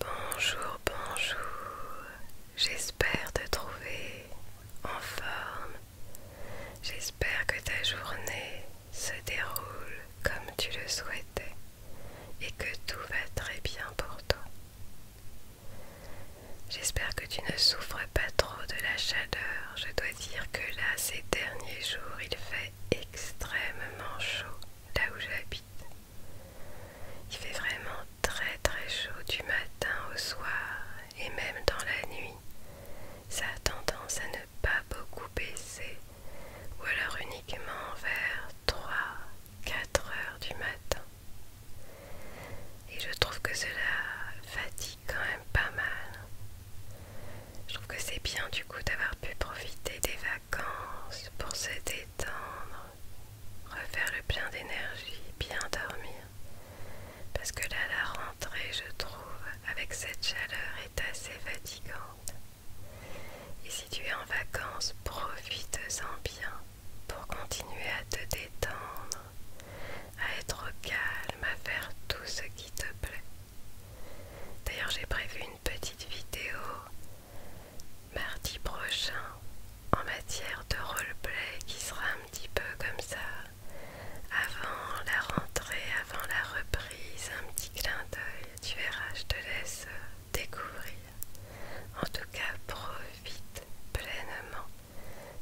Bonjour, bonjour, j'espère te trouver en forme, j'espère que ta journée se déroule comme tu le souhaitais et que tout va très bien pour toi. J'espère que tu ne souffres pas trop de la chaleur, je dois dire que là ces derniers jours il fait extrêmement chaud là où j'habite. Il fait vraiment très très chaud du matin au soir et même dans la nuit. Ça a tendance à ne pas beaucoup baisser ou alors uniquement vers 3-4 heures du matin. Et je trouve que cela fatigue quand même pas mal. Je trouve que c'est bien du coup d'avoir pu profiter des vacances vacances pour se détendre, refaire le plein d'énergie, bien dormir. Parce que là, la rentrée, je trouve, avec cette chaleur, est assez fatigante. Et si tu es en vacances, profite-en bien pour continuer à te détendre, à être calme, à faire tout ce qui te plaît. D'ailleurs, j'ai prévu une petite vidéo mardi prochain en matière de roleplay qui sera un petit peu comme ça avant la rentrée, avant la reprise, un petit clin d'œil, tu verras, je te laisse euh, découvrir. En tout cas, profite pleinement,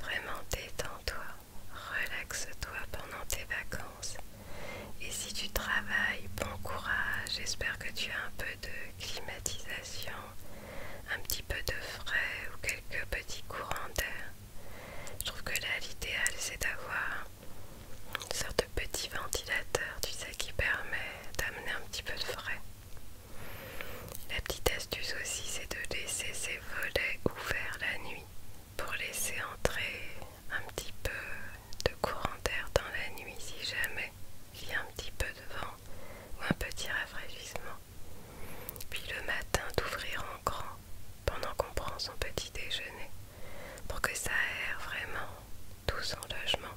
vraiment détends-toi, relaxe-toi pendant tes vacances. Et si tu travailles, bon courage, j'espère que tu as un peu de climatisation, un petit peu de frais ou quelques petits courants d'air. Je trouve que là l'idéal c'est d'avoir une sorte de petit ventilateur, tu sais, qui permet d'amener un petit peu de frais. La petite astuce aussi c'est de laisser ses volets ouverts la nuit pour laisser entrer un petit peu de courant d'air dans la nuit si jamais il y a un petit peu de vent ou un petit rafraîchissement. Puis le matin d'ouvrir en grand pendant qu'on prend son petit déjeuner pour que ça aère vraiment tout son logement,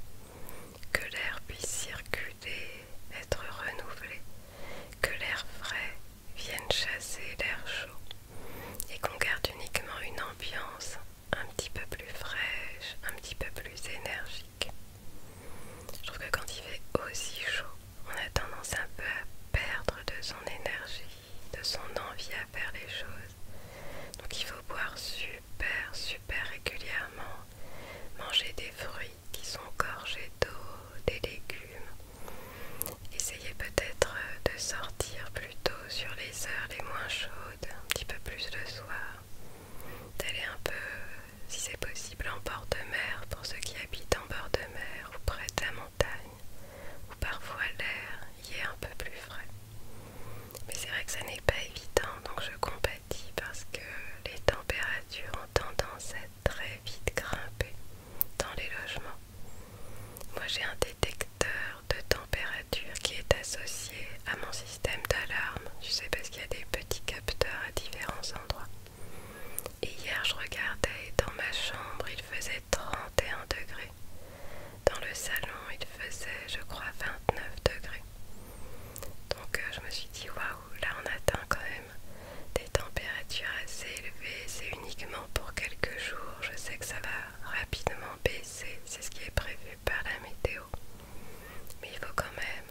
que l'air puisse circuler, être renouvelé, que l'air frais vienne chasser l'air chaud et qu'on garde uniquement une ambiance un petit peu plus fraîche, un petit peu plus énergique. Je trouve que quand il fait aussi chaud, on a tendance un peu à perdre de son énergie, de son envie à faire les choses. Donc il faut boire super, super régulièrement, manger des fruits qui sont gorgés d'eau, des légumes. Essayez peut-être de sortir plutôt sur les heures les moins chaudes, un petit peu plus le soir d'aller un peu, euh, si c'est possible, en bord de mer pour ceux qui habitent en bord de mer ou près de la montagne, où parfois l'air y est un peu plus frais. Mais c'est vrai que ça n'est pas évident, donc je compatis parce que les températures ont tendance à très vite grimper dans les logements. Moi j'ai un détecteur de température qui est associée à mon système d'alarme, tu sais parce qu'il y a des petits capteurs à différents endroits. Et hier je regardais dans ma chambre il faisait 31 degrés. Dans le salon il faisait je crois 29 degrés. Donc euh, je me suis dit waouh, là on atteint quand même des températures assez élevées, c'est uniquement pour quelques jours, je sais que ça va rapidement baisser, c'est ce qui est prévu par la météo. Mais il faut quand même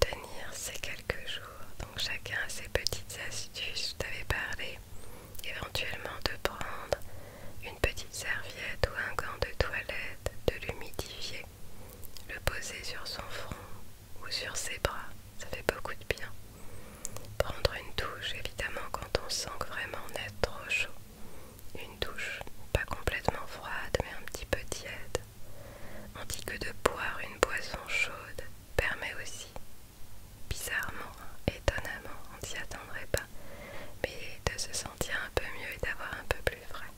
tenir ces quelques jours. Donc chacun a ses petites astuces. Je t'avais parlé éventuellement de prendre une petite serviette ou un gant de toilette, de l'humidifier, le poser sur son front ou sur ses bras. Ça fait beaucoup de bien. Prendre une douche évidemment quand on sent vraiment on trop chaud. Une douche, pas complètement froide mais un petit peu tiède. On dit que de boire une boisson chaude permet aussi, bizarrement, étonnamment, on ne s'y attendrait pas, mais de se sentir un peu mieux et d'avoir un peu plus frais.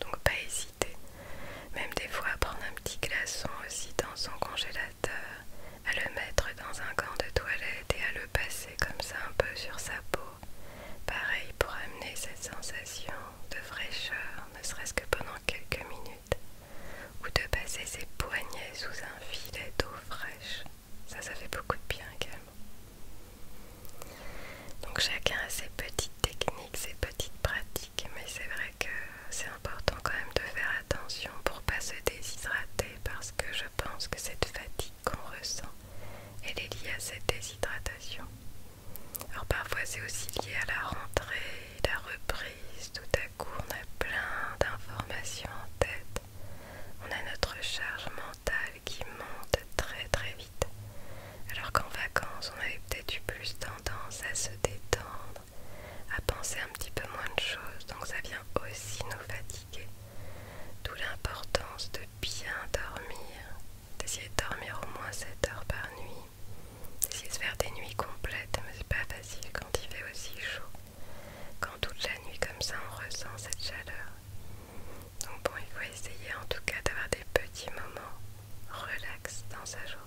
Donc pas hésiter, même des fois à prendre un petit glaçon aussi dans son congélateur à le mettre dans un gant de toilette et à le passer comme ça un peu sur sa peau, pareil pour amener cette sensation de fraîcheur, ne serait-ce que pendant quelques minutes, ou de passer ses poignets sous un filet d'eau fraîche. Ça, ça fait beaucoup de bien également. Donc chacun a ses petites techniques, ses petites pratiques, mais c'est vrai que c'est important quand même de faire attention pour pas se déshydrater parce que je pense que cette fatigue qu'on ressent, elle est liée à cette déshydratation. Alors parfois c'est aussi lié à la rentrée, la reprise, tout à coup on a plein d'informations en tête. On a notre charge mentale qui monte très très vite. Alors qu'en vacances on avait peut-être eu plus tendance à se détendre, à penser un petit peu moins de choses, donc ça vient aussi nous fatiguer. D'où l'importance de bien dormir, d'essayer de dormir au moins 7 heures par nuit, d'essayer de faire des nuits complètes, mais c'est pas facile quand il fait aussi chaud. Quand toute la nuit comme ça on ressent cette chaleur. Donc bon, il faut essayer en tout cas d'avoir des petits moments relax dans sa journée.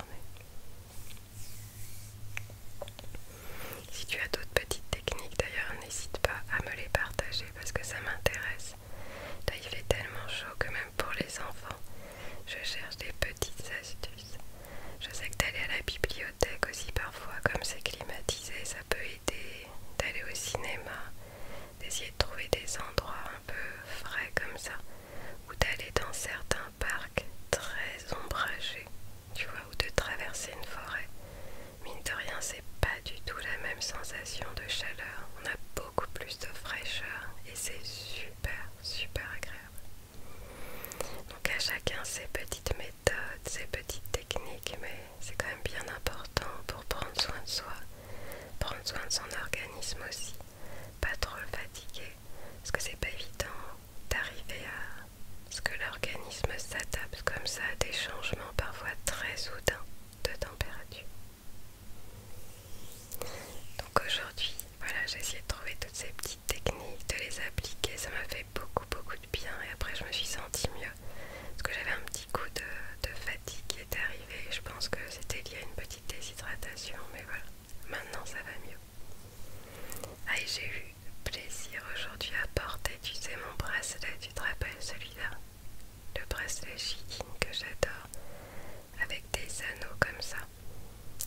Si tu as d'autres petites techniques d'ailleurs, n'hésite pas à me les partager parce que ça m'intéresse. Là, il fait tellement chaud que même pour les enfants, je cherche des petites astuces. Je sais que d'aller à la bibliothèque aussi parfois, comme c'est climatisé, ça peut aider. D'aller au cinéma, d'essayer de trouver des endroits un peu frais comme ça, ou d'aller dans certains parcs très ombragés tu vois, ou de traverser une forêt. Mine de rien, c'est pas du tout la même sensation de chaleur. On a beaucoup plus de fraîcheur et c'est super, super agréable. Donc à chacun ses petites méthodes, ses petites techniques, mais c'est quand même bien important pour prendre soin de soi, prendre soin de son organisme aussi, pas trop le fatiguer, parce que c'est pas évident d'arriver à parce que l'organisme s'adapte comme ça à des changements parfois très soudains de température. Donc aujourd'hui, voilà, j'ai essayé de trouver toutes ces petites techniques, de les appliquer, ça m'a fait beaucoup beaucoup de bien et après je me suis sentie mieux parce que j'avais un petit coup de, fatigue qui était arrivé, je pense que c'était lié à une petite déshydratation, mais voilà, maintenant ça va mieux. Ah, j'ai eu le plaisir aujourd'hui à porter, tu sais, mon bracelet, tu te rappelles celui-là Le bracelet chiquine que j'adore, avec des anneaux comme ça.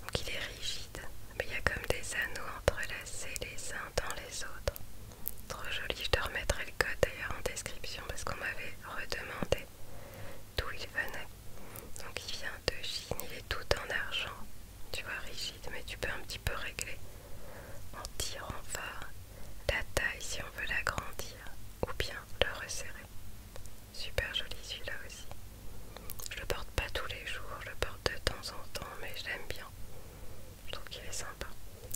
Donc il est rigide, mais il y a comme des anneaux entrelacés les uns dans les autres. Trop joli, je te remettrai le code d'ailleurs en description parce qu'on m'avait redemandé d'où il venait. Donc il vient de Chine, il est tout en argent, tu vois rigide, mais tu peux un petit peu régler en tirant fort la taille si on veut l'agrandir ou bien le resserrer. Super joli celui-là aussi. Je le porte pas tous les jours, je le porte de temps en temps, mais j'aime bien. Je trouve qu'il est sympa.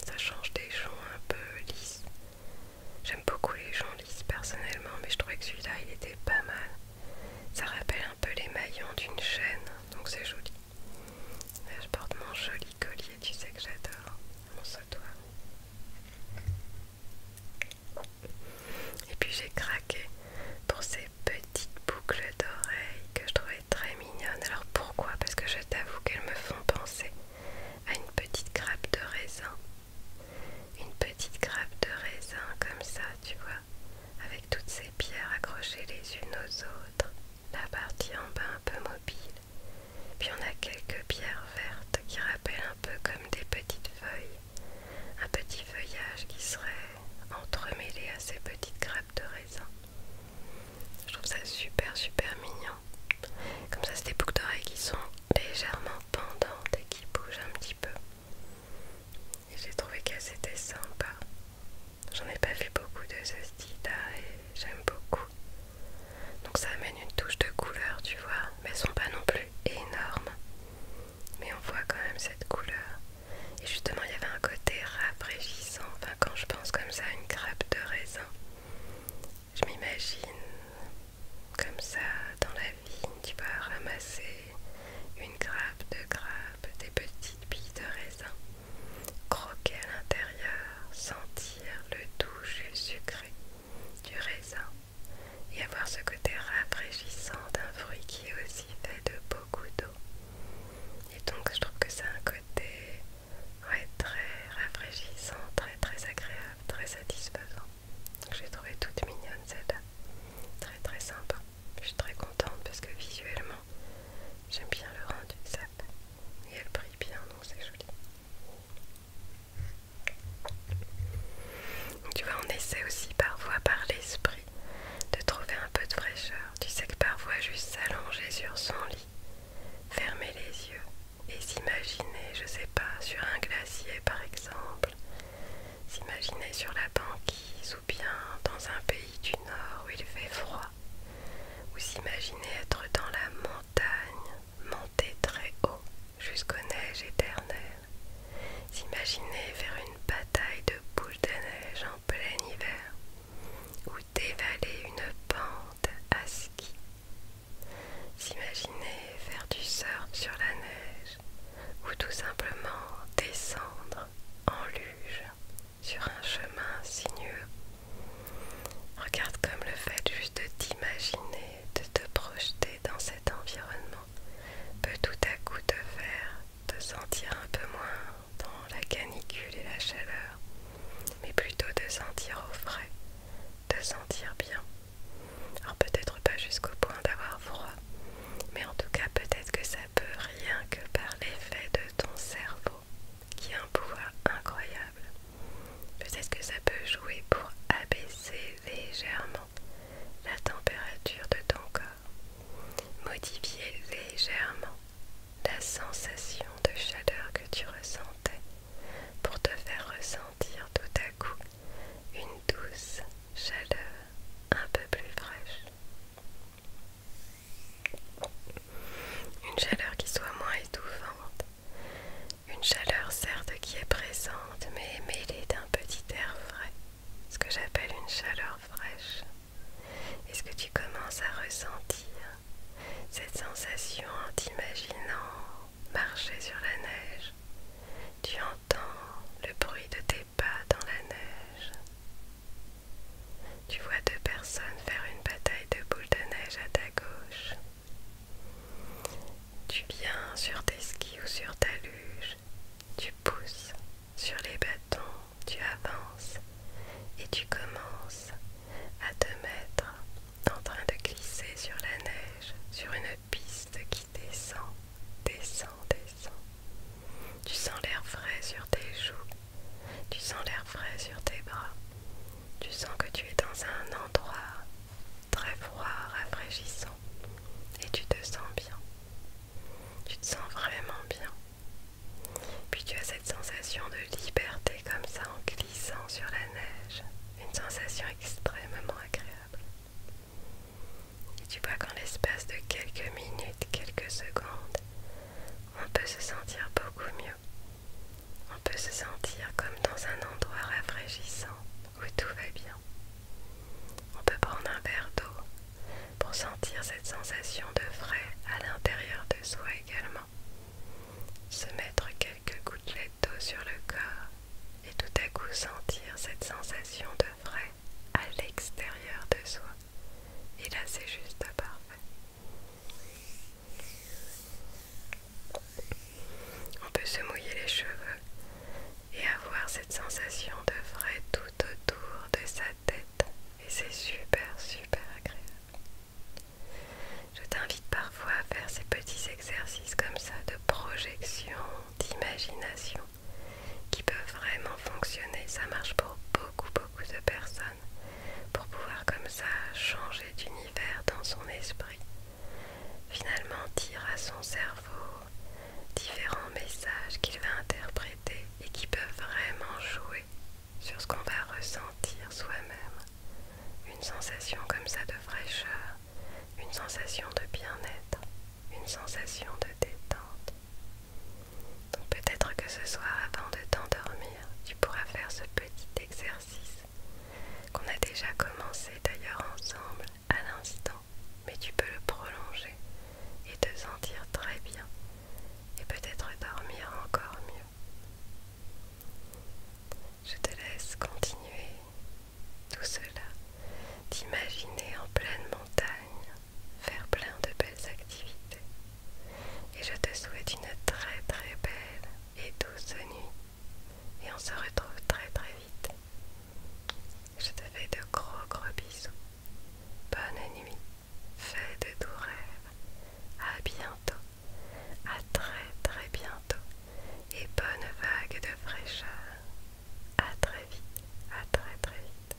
Ça change des joncs un peu lisses. J'aime beaucoup les gens lisses personnellement, mais je trouvais que celui-là il était pas mal. Ça rappelle un peu les maillons d'une chaîne, donc c'est joli. Là, je porte mon joli collier, tu sais que j'adore, mon sautoir. Et puis j'ai craqué pour ces petites boucles d'oreilles que je trouvais très mignonnes. Alors pourquoi Parce que je t'avoue qu'elles me font penser à une petite grappe de raisin. Une petite grappe de raisin comme ça, tu vois, avec toutes ces pierres accrochées les unes aux autres la partie en bas un peu mobile, puis on a quelques pierres vertes qui rappellent un peu comme des petites feuilles, un petit feuillage qui serait entremêlé à ces petites grappes de raisin. Je trouve ça super super mignon. Comme ça, c'est des boucles d'oreilles qui sont légèrement pendantes et qui bougent un petit peu. j'ai trouvé qu'elles étaient sympas. J'en ai pas vu beaucoup de ce style-là et j'aime beaucoup. Donc ça amène une touche de couleur, tu vois. Mais elles sont pas non plus énormes. Mais on voit quand même cette couleur. Et justement, il y avait un côté rafraîchissant. Enfin, quand je pense comme ça à une grappe de raisin, je m'imagine comme ça dans la vigne, tu vois, ramasser une grappe de grappe, des petites billes de raisin. Croquer à l'intérieur, sentir le doux sucré du raisin et avoir ce côté rafraîchissant d'un fruit qui est aussi fait de beaucoup d'eau. Et donc je trouve que c'est un côté très rafraîchissant, très très agréable, très satisfaisant. J'ai trouvé toute mignonne cette Très très sympa. Je suis très contente parce que visuellement, j'aime bien le rendu sap et elle brille bien, donc c'est joli. Tu vois, on essaie aussi parfois par l'esprit de trouver un peu de fraîcheur. Tu sais que parfois juste s'allonger sur son lit, fermer les yeux et s'imaginer, je sais pas, sur un glacier par exemple, s'imaginer sur la banquise ou bien dans un pays du nord où il fait froid ou s'imaginer être dans la montagne, monter très haut jusqu'aux neiges éternelles. S'imaginer faire une bataille de boules de neige en plein hiver ou dévaler une pente à ski. S'imaginer faire du surf sur la neige ou tout simplement descendre en luge sur un chemin sinueux. Regarde comme le fait juste de t'imaginer, de te projeter dans cet environnement peut tout à coup te faire te sentir un peu moins dans la canicule et la chaleur, mais plutôt te sentir au frais, te sentir bien. Alors peut-être pas jusqu'au point d'avoir froid, mais en tout cas peut-être que ça peut rien que par l'effet de ton cerveau qui a un pouvoir incroyable. Peut-être que ça peut jouer pour abaisser légèrement la température de ton corps, modifier légèrement la sensation de chaleur que tu ressentais pour te faire ressentir tout à coup une douce chaleur un peu plus fraîche. Une chaleur qui soit moins étouffante. Une chaleur certes qui est présente mais mêlée d'un petit air frais. Ce que j'appelle une chaleur fraîche. Est-ce que tu commences à ressentir cette sensation en t'imaginant marcher sur la neige Tu entends le bruit de tes pas dans la neige. Tu vois deux personnes faire une bataille de boules de neige à ta gauche. Tu viens sur tes skis ou sur ta luge. Tu pousses sur les bâtons, tu avances et tu commences à te mettre en train de glisser sur la neige, sur une piste qui descend, descend, descend. Tu sens l'air frais sur tes joues, tu sens l'air frais sur tes bras. Tu sens que tu es dans un endroit très froid, rafraîchissant. Et tu te sens bien. Tu te sens vraiment bien. Puis tu as cette sensation de liberté comme ça en glissant sur la neige. Une sensation extrêmement agréable. Et tu vois qu'en l'espace de quelques minutes, quelques secondes, on peut se sentir beaucoup mieux. On peut se sentir comme dans un endroit rafraîchissant où tout va bien. On peut prendre un verre d'eau pour sentir cette sensation de frais à l'intérieur de soi également. Se mettre quelques gouttelettes d'eau sur le corps et tout à coup sentir cette sensation de frais à l'extérieur de soi. Et là c'est juste parfait. On peut se mouiller les cheveux et avoir cette sensation de frais tout autour de sa tête et c'est super super agréable. Je t'invite parfois à faire ces petits exercices comme ça de projection, d'imagination qui peuvent vraiment fonctionner. Ça marche pour beaucoup beaucoup de personnes pour pouvoir comme ça changer d'univers dans son esprit, finalement dire à son cerveau différents messages qu'il va interpréter et qui peuvent vraiment jouer sur ce qu'on va ressentir soi-même. Une sensation comme ça de fraîcheur, une sensation de bien-être, une sensation de détente. Donc peut-être que ce soir, avant de t'endormir, tu pourras faire ce petit exercice qu'on a déjà commencé d'ailleurs ensemble à l'instant, mais tu peux le prolonger et te sentir très bien et peut-être dormir encore mieux. Je te laisse continuer tout cela, t'imaginer en pleine montagne, faire plein de belles activités. Et je te souhaite une très très belle et douce nuit. Et on se retrouve très très vite. Je te fais de gros gros bisous. Bonne nuit. Fais de doux rêves. À bientôt. À très très bientôt. Et bonne vague de fraîcheur. À très vite. À très très vite.